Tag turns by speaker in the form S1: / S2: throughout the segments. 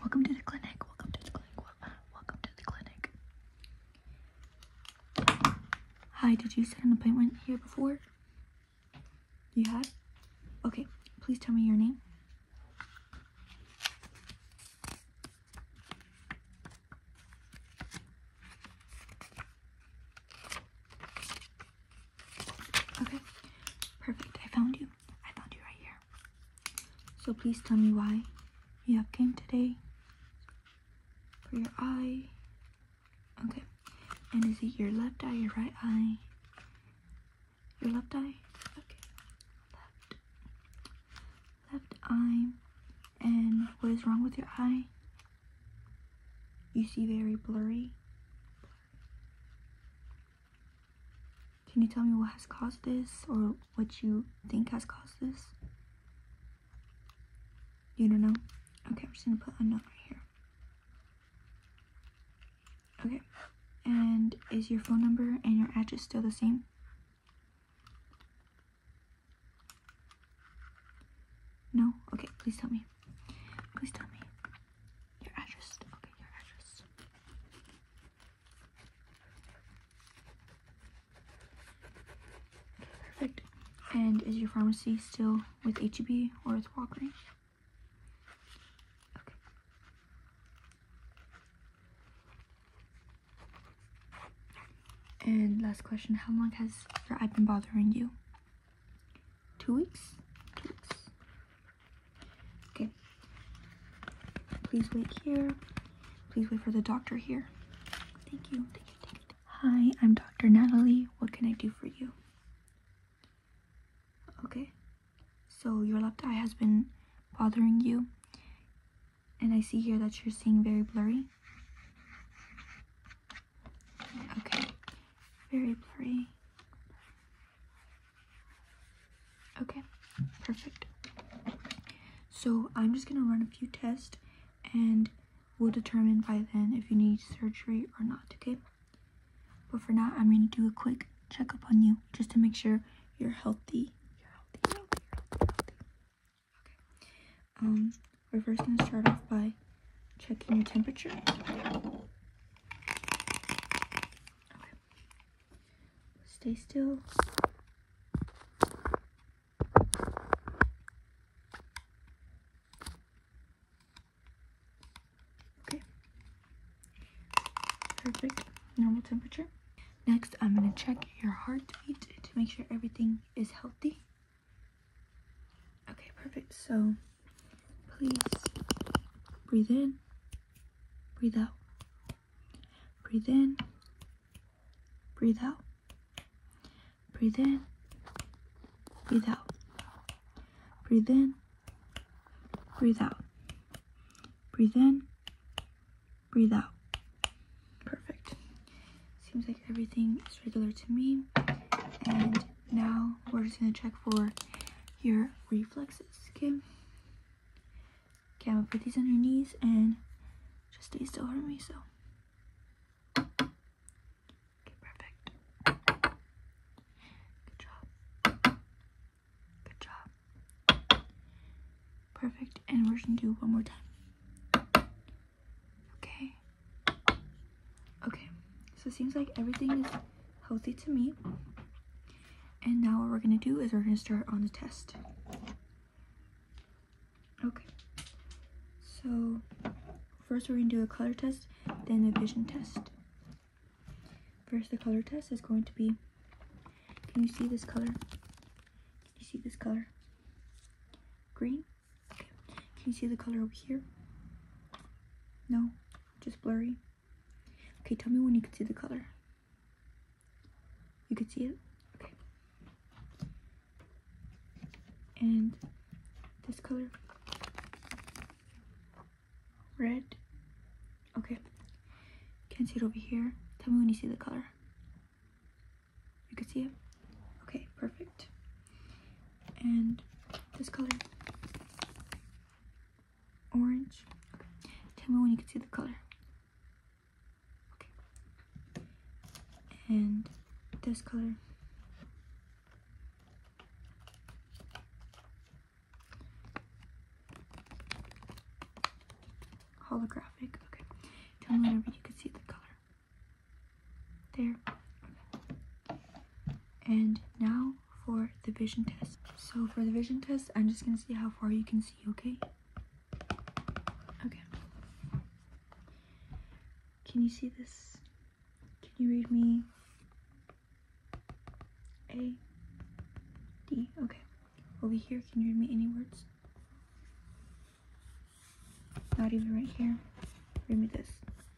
S1: Welcome to the clinic. Welcome to the clinic. Welcome to the clinic. Hi, did you set an appointment here before? You had? Okay, please tell me your name. Okay, perfect. I found you. I found you right here. So please tell me why you have came today. For your eye. Okay. And is it your left eye, your right eye? Your left eye? Okay. Left. Left eye. And what is wrong with your eye? You see very blurry. Can you tell me what has caused this or what you think has caused this? You don't know? Okay, I'm just gonna put a note right here. Okay, and is your phone number and your address still the same? No? Okay, please tell me. Please tell me. Your address. Okay, your address. perfect. And is your pharmacy still with HEB or with Walgreens? Okay. And last question, how long has your eye been bothering you? Two weeks? Two weeks. Okay. Please wait here. Please wait for the doctor here. Thank you. Thank you. Hi, I'm Dr. Natalie. What can I do for you? Okay. So your left eye has been bothering you. And I see here that you're seeing very blurry. Okay very blurry. Okay, perfect. So I'm just gonna run a few tests and we'll determine by then if you need surgery or not, okay? But for now, I'm gonna do a quick checkup on you just to make sure you're healthy. You're healthy, Okay. Um, we're first gonna start off by checking your temperature. Stay still. Okay. Perfect. Normal temperature. Next, I'm going to check your heartbeat to make sure everything is healthy. Okay, perfect. So Please breathe in, breathe out, breathe in, breathe out, breathe in, breathe out, breathe in, breathe out, breathe in, breathe out. Perfect. Seems like everything is regular to me and now we're just gonna check for your reflexes, okay? Okay, I'm gonna put these on your knees and just stay still for me, so. Okay, perfect. Good job. Good job. Perfect, and we're gonna do one more time. Okay. Okay, so it seems like everything is healthy to me. And now what we're gonna do is we're gonna start on the test. Okay, so first we're gonna do a color test, then a vision test. First, the color test is going to be, can you see this color? Can you see this color? Green? Okay. Can you see the color over here? No, just blurry. Okay, tell me when you can see the color. You can see it? Okay. And this color. Red. Okay. Can't see it over here. Tell me when you see the color. You can see it? Okay, perfect. And this color. Orange. Okay. Tell me when you can see the color. Okay. And this color. Holographic. Okay. Tell me whenever you can see the color. There. And now for the vision test. So for the vision test, I'm just gonna see how far you can see, okay? Okay. Can you see this? Can you read me? A, D, okay. Over here, can you read me any words? Not even right here. Read me this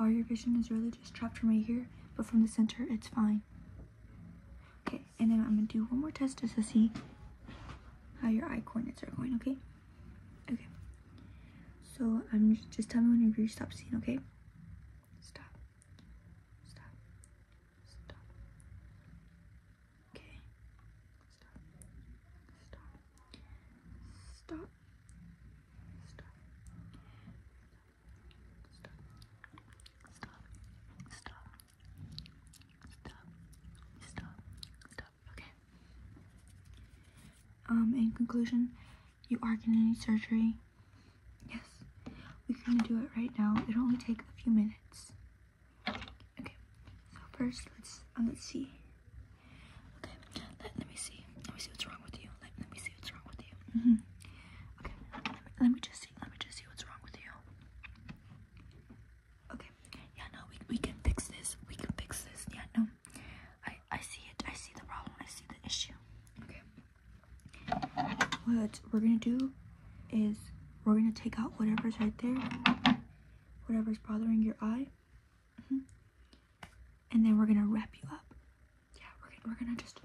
S1: all your vision is really just trapped from right here, but from the center, it's fine. Okay, and then I'm gonna do one more test just to see how your eye coordinates are going, okay? Okay. So I'm just, just tell me whenever you stop seeing, okay? Stop. Stop. Stop. Okay. Stop. Stop. Stop. Stop. Stop. Stop. Stop. Stop. Stop. Stop. Okay. Um, in conclusion, you are gonna need surgery. Yes. We're gonna do it right now. It'll only take a few minutes. Okay. So first let's let's see. Okay, let, me see. Let me see what's wrong with you. Let, me see what's wrong with you. Mm-hmm. Okay, let me, let me just see. Let me just see what's wrong with you. Okay, yeah, no, we, we can fix this. We can fix this. Yeah, no, I, I see it. I see the problem. I see the issue. Okay. What we're gonna do is we're gonna take out whatever's right there, whatever's bothering your eye. Mm-hmm. And then we're gonna wrap you up. Yeah, we're gonna just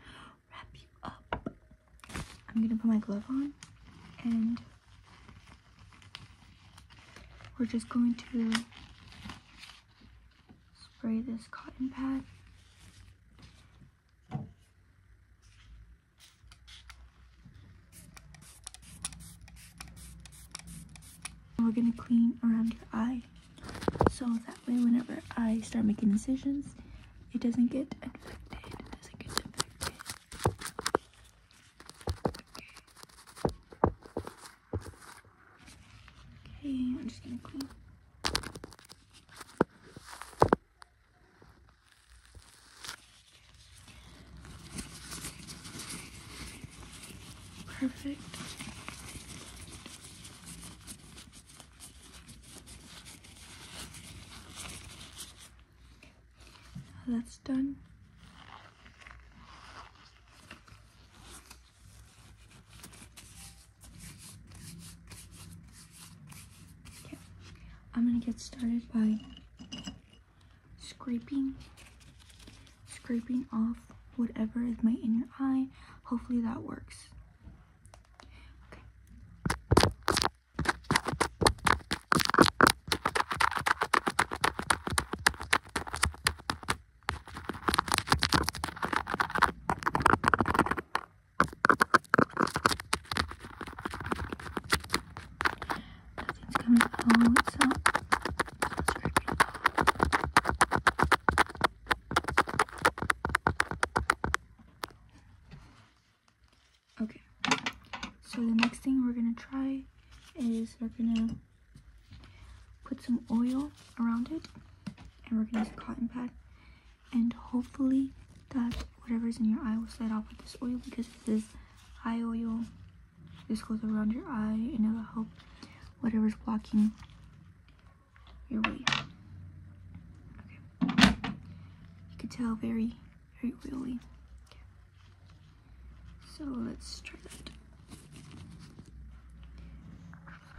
S1: wrap you up. I'm gonna put my glove on and we're just going to spray this cotton pad we're gonna clean around your eye. So that way whenever I start making incisions, it doesn't get infected. Okay, I'm just gonna clean. Perfect. That's done. Okay. I'm gonna get started by scraping scraping off whatever is my inner eye. Hopefully that works. Nothing's coming out. So Okay. So the next thing we're gonna try is we're gonna put some oil around it and we're gonna use a cotton pad and hopefully that whatever's in your eye will slide off with this oil because this is high oil this goes around your eye and it'll help whatever's blocking your way. Okay. You can tell very, very oily. So let's try that.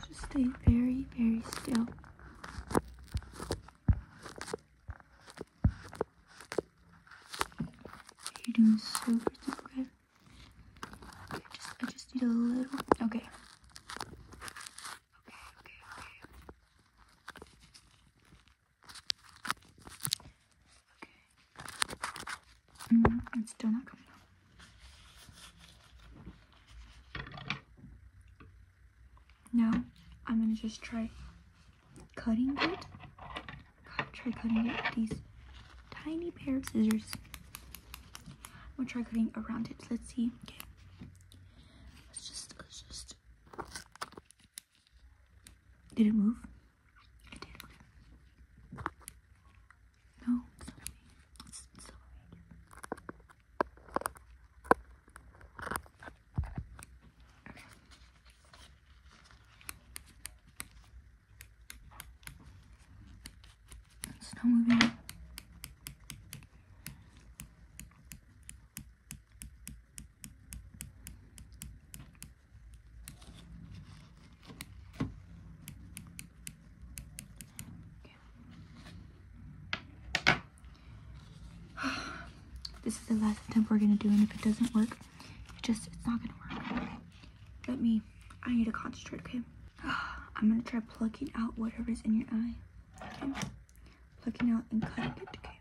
S1: Just stay very, very still. You're doing super, super good. Okay, just, I just need a little. Okay. Okay, okay, okay. -hmm. it's still not coming out. Now, I'm gonna just try cutting it try cutting it with these tiny pair of scissors. I'm gonna try cutting around it. Let's see. Let's just, let's just. Did it move? No, it's it's not moving. This is the last attempt we're gonna do, and if it doesn't work, it just, it's not gonna work. Let me, I need to concentrate, okay? I'm gonna try plugging out whatever is in your eye, okay? Plucking out and cutting it, okay?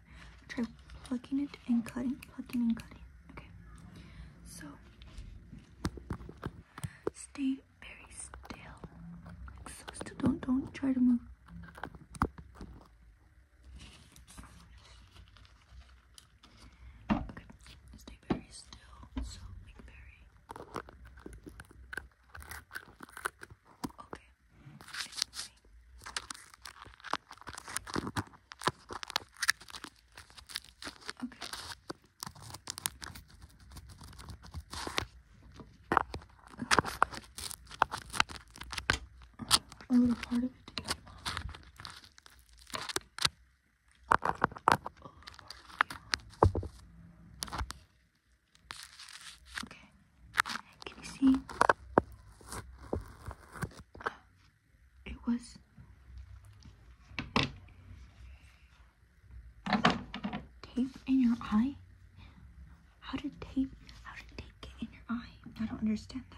S1: Try plugging it and cutting, plugging and cutting, okay? So, stay very still. Like so still, don't, don't try to move. Okay, stay very still. So make very. Okay. Okay. A little part of it can you see? Uh, it was. Tape in your eye? How did tape? How did tape get in your eye? I don't understand that.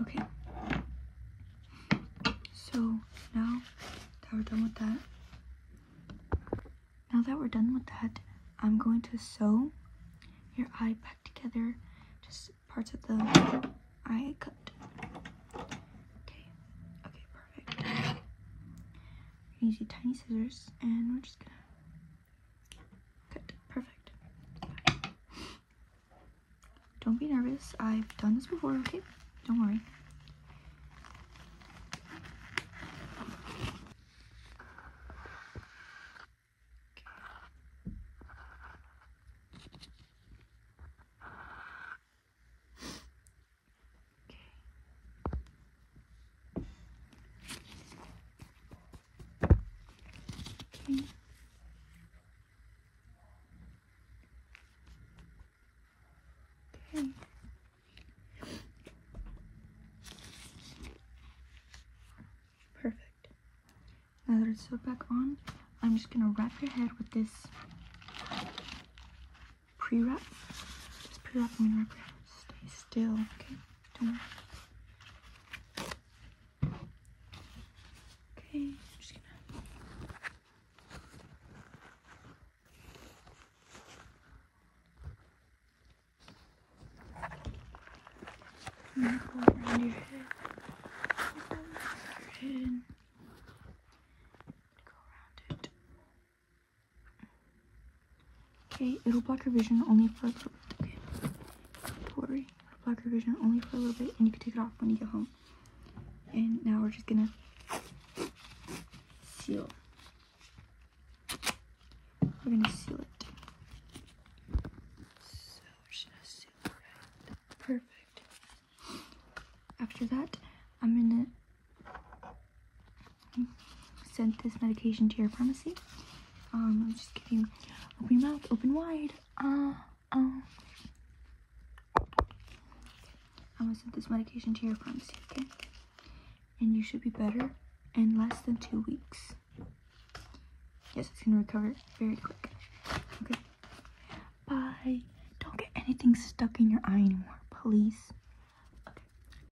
S1: Okay. So now that we're done with that, now that we're done with that, I'm going to sew your eye back together, just parts of the eye cut. Okay, okay, perfect. We're use your tiny scissors and we're just gonna Good, perfect. Don't be nervous. I've done this before, okay? Don't worry. Okay. Okay. Perfect. Now that it's put back on, I'm just gonna wrap your head with this pre-wrap. Just pre-wrap and wrap your head. Stay still, okay? Okay, I'm just gonna. go around your head. Around your head. Go around it. Okay, it'll block your vision only for a little bit, Don't worry, it'll block your vision only for a little bit, and you can take it off when you get home. And now we're just gonna seal. We're gonna seal it. So we Perfect. After that, I'm gonna I sent this medication to your pharmacy. Um, I'm just kidding. Open your mouth, open wide. Uh, um. I'm gonna send this medication to your pharmacy, okay? And you should be better in less than two weeks. Yes, it's gonna recover very quick. Okay. Bye. Don't get anything stuck in your eye anymore, please.